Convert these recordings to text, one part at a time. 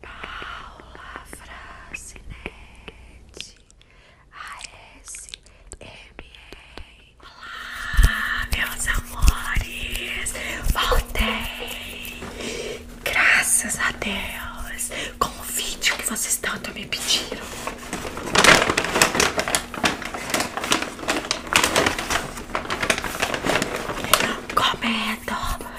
Paula Francinete E. Olá, meus amores! Voltei! Graças a Deus! Com que vocês tanto me pediram. Comendo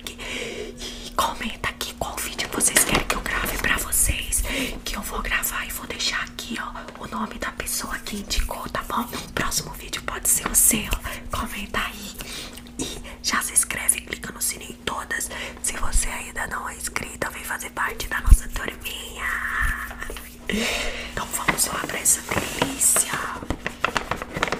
e comenta aqui qual vídeo vocês querem que eu grave pra vocês. Que eu vou gravar e vou deixar aqui, ó, o nome da pessoa que indicou, tá bom? próximo vídeo pode ser o seu. Comenta aí e já se inscreve, clica no sininho todas. Se você ainda não é inscrito vem fazer parte da nossa turminha. Então vamos lá pra essa delícia.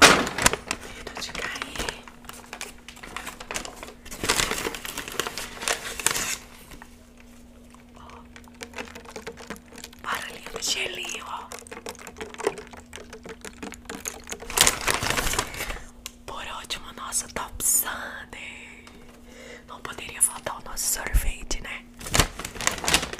Medo de cair. Ó. Barulhinho do gelinho, Por último, nosso Top Sunday. Não poderia faltar o nosso sorvete, né?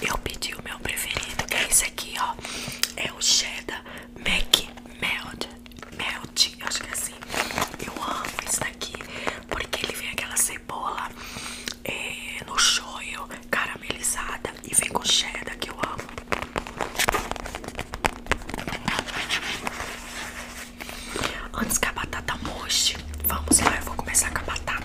Eu pedi o meu preferido, que é esse aqui, ó. É o cheddar Mac Melt. Melt, eu acho que é assim. Eu amo esse daqui, porque ele vem aquela cebola é, no shoyu, caramelizada e vem com cheddar, que eu amo. Antes que a batata moche, vamos lá, eu vou começar com a batata.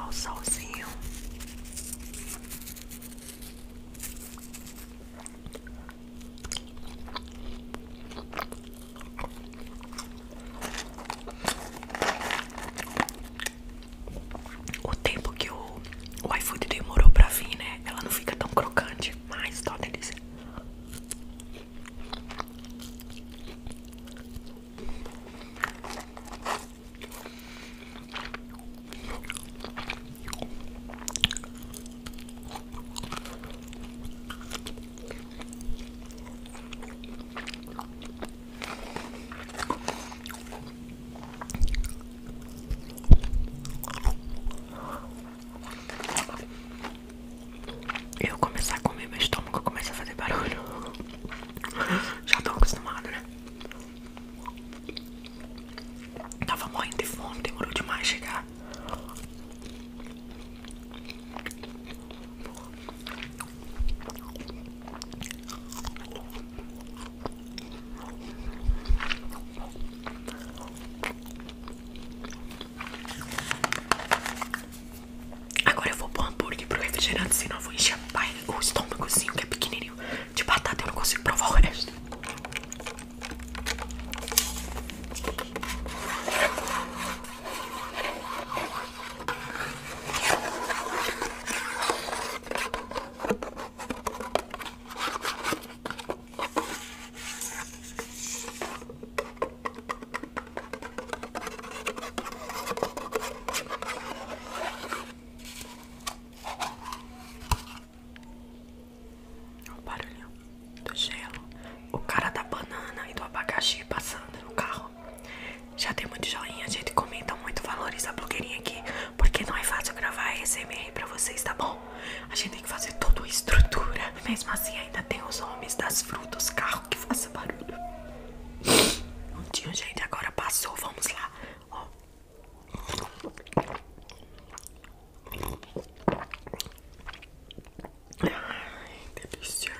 o solzinho. O tempo que o, o iFood demorou pra vir, né? Ela não fica tão crocante, mas tá uma eu começar a comer mas meu estômago começa a fazer barulho já estão acostumado, né? Tava morrendo de fome, demorou demais chegar. Agora eu vou pôr hambúrguer pro refrigerante, senão eu vou encher o estômagozinho que é pequenininho de batata. Eu não consigo provar o resto o barulho do gelo, o cara da banana e do abacaxi passando no carro. Já tem muito joinha, a gente comenta muito, valoriza a blogueirinha aqui, porque não é fácil gravar esse SMR pra vocês, tá bom? A gente tem que fazer toda a estrutura mesmo assim, ainda tem os homens das frutas, carro que faça barulho. Não gente, agora passou. Vamos lá. Ó. Ai, delícia.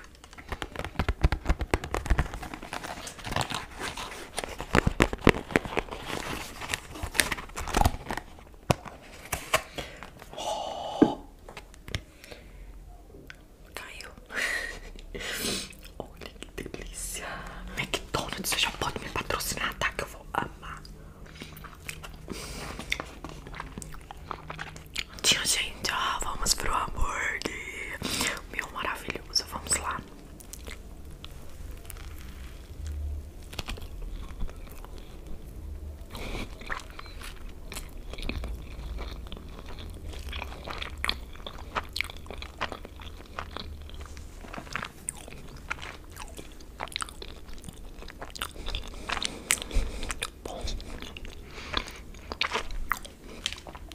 Oh. Caiu. Olha que delícia. McDonald's, você já pode me patrocinar, tá? Que eu vou amar. Tia gente, ó, vamos pro hambúrguer. Meu maravilhoso, vamos lá bom.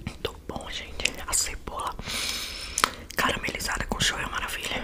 Muito bom, gente. A cebola caramelizada com show é maravilha.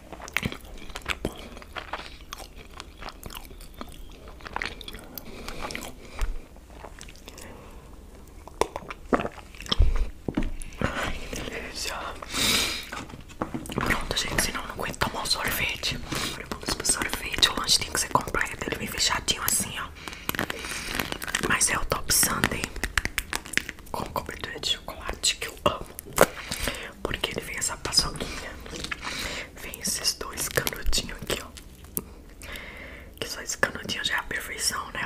Ai, que delícia! Pronto, gente, senão eu não aguento tomar um sorvete. Olha, vamos pro sorvete. O lanche tem que ser completo. Ele vem é fechadinho assim, ó. Mas é o Top Sunday com cobertura de chocolate que eu amo. Porque ele vem essa paçoquinha. Vem esses dois canudinhos aqui, ó. Que só esse canudinho já é a perfeição, né?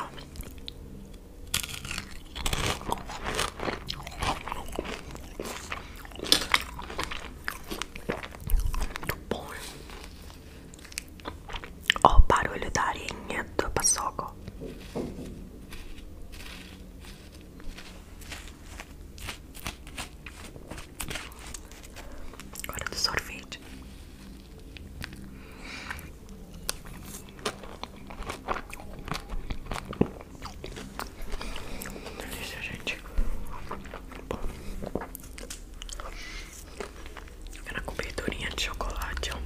Muito bom. Hein? Ó, o barulho da areinha do paçoca, ó. Agora do sorvete. Delícia, gente. Era coberturinha de chocolate, ó.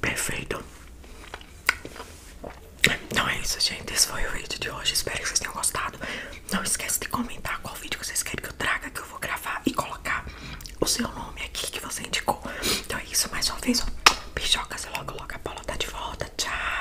Perfeito. Então é isso, gente. Esse foi o vídeo de hoje. Espero que vocês tenham gostado. Não esquece de comentar qual vídeo vocês querem que eu traga, que eu vou gravar e colocar o seu nome aqui que você indicou. Então é isso. Mais uma vez, ó. Beijocas. Logo, logo a bola tá de volta. Tchau.